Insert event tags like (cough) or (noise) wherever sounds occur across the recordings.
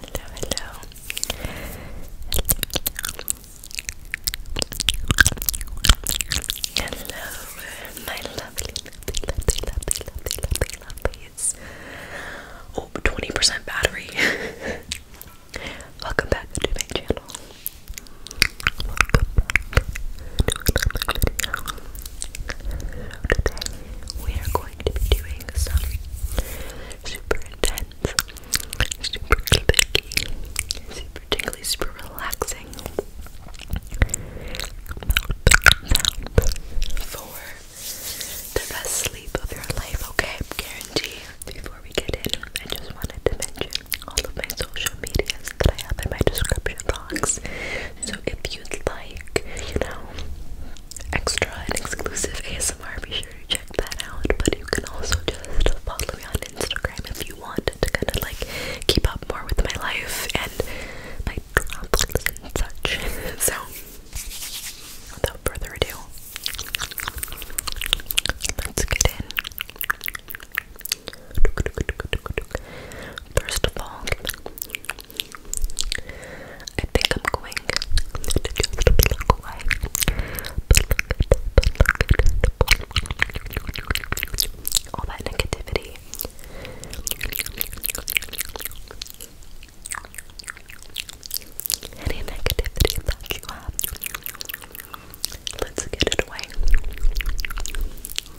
Hello, hello. Hello, my lovely, lovely, lovely, lovely, lovely, lovelies. Oh, 20% battery. Welcome back to my channel today we are going to be doing some super intense, super clicky, super tingly, super relaxing for the best sleep of your life, okay? Guarantee. Before we get in, I just wanted to mention all of my social medias that I have in my description box. So if you'd like, you know, extra and exclusive ASMR, be sure to check that out. But you can also just follow me on Instagram if you want to kind of like keep up more with my life and my travels and such. (laughs) So without further ado, let's get in. First of all, I think I'm going to just plug All that negativity. Any negativity that you have, let's get it away.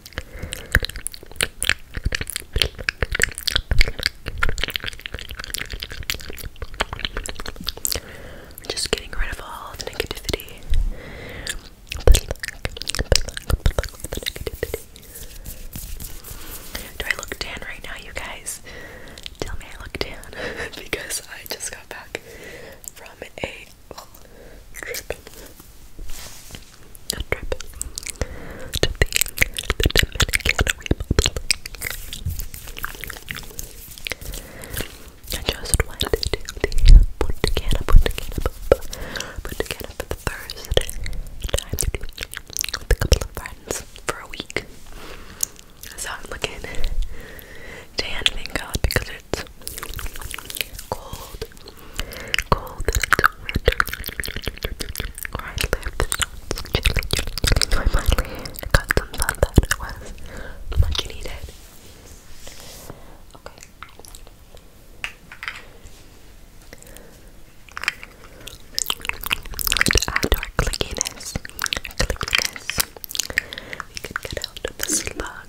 I'm just getting rid of all the negativity. Do I look tan right now, you guys? Tell me I look tan (laughs) because I just got back from a trip a trip to the, the Dominican Republic. I just went to the Punta for the first time with a couple of friends for a week. So I'm looking tan, thank God, because it's cold. Cold and I lived, got some sun that was much needed. Okay. We add our clickiness. Clickiness. We could get out of the slug.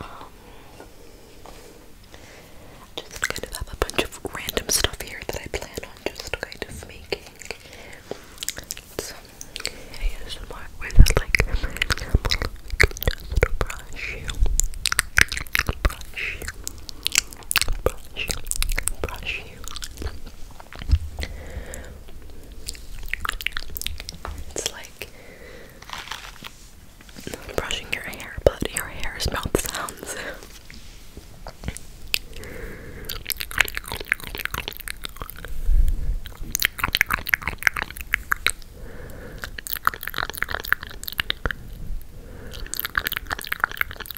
Um, just kind of have a bunch of random stuff here that I plan on just kind of making some ASMR with like, for brush brush brush brush brush you, it's like brushing your hair, but your hair's mouth sounds.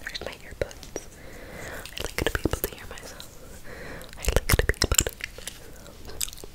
Where's my earbuds? I'd like to be able to hear myself. I'd like to be able to hear myself.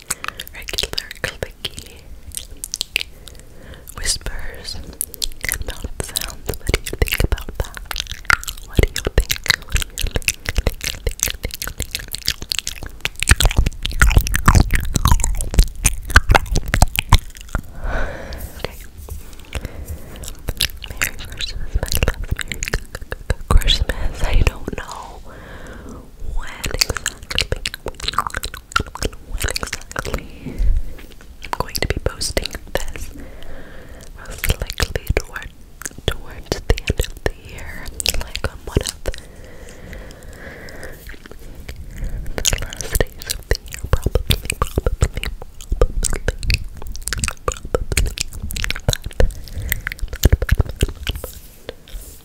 regular clicky whispers and mouth sounds. What do you think about that? What do you think? What do you think? think, think, I don't know when exactly when exactly I'm going to be posting this. Most likely toward, towards the end of the year, like on one of the last days of the year, probably,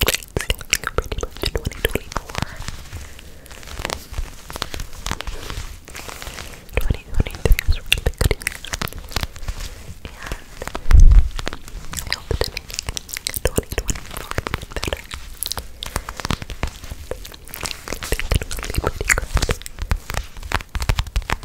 pretty much 2024. 2023 was really good year. And I hope that makes 2024 even better. I think it will be pretty good. I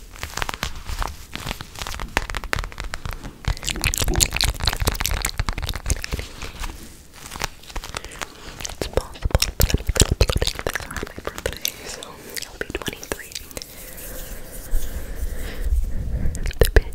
It's possible that I'm celebrating this around my birthday, so I'll be 23. The big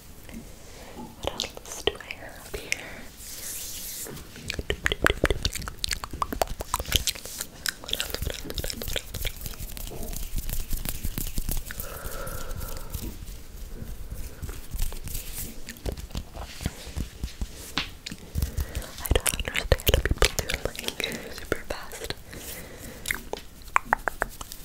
What else do I have here? I don't understand people do like super fast. Ooh. I just got a text. just got a text So, you know, I said that I was just on it.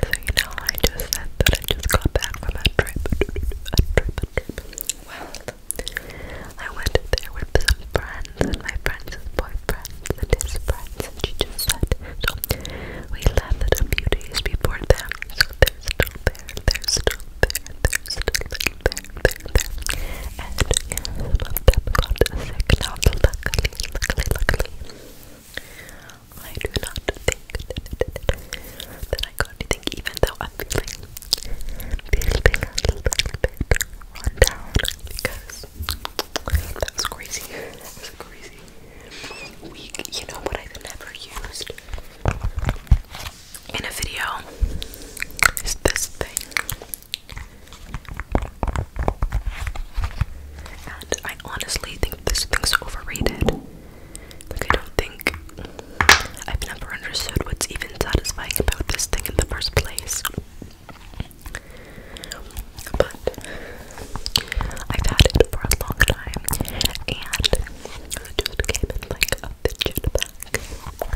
So, you know, I just said that I just got back from a trip. A trip, Well, I went there with some friends and my friend's boyfriend and his friends, and she just said, we left it a few days before them, so they're still there, they're still there, I do not think that I got anything, even though I'm feeling, feeling a little because that was crazy. That was crazy week. You know what I've never used? in a video is this thing. And I honestly think this thing's overrated. Like, I don't think I've never understood what's even satisfying about this thing in the first place. But I've had it for a long time, and it just came in like a fidget pack. But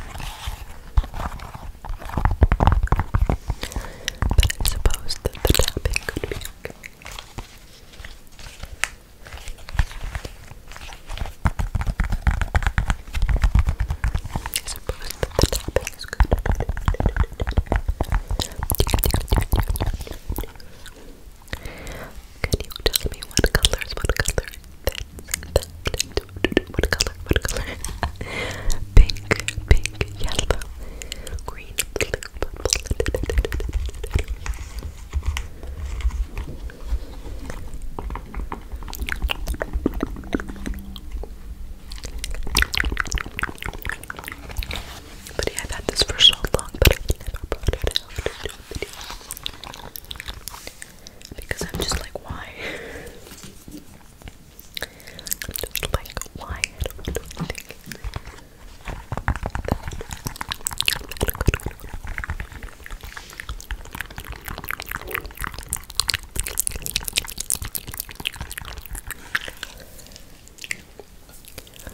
I suppose that the tapping could be okay. I suppose that the tapping is good. Can you tell me what colors, what color this, what color, what color? (laughs) pink, pink, yellow, green, blue, purple. But I've had this for so long, but I've never brought it out. Because I'm just like, why? I'm just like, why? just like why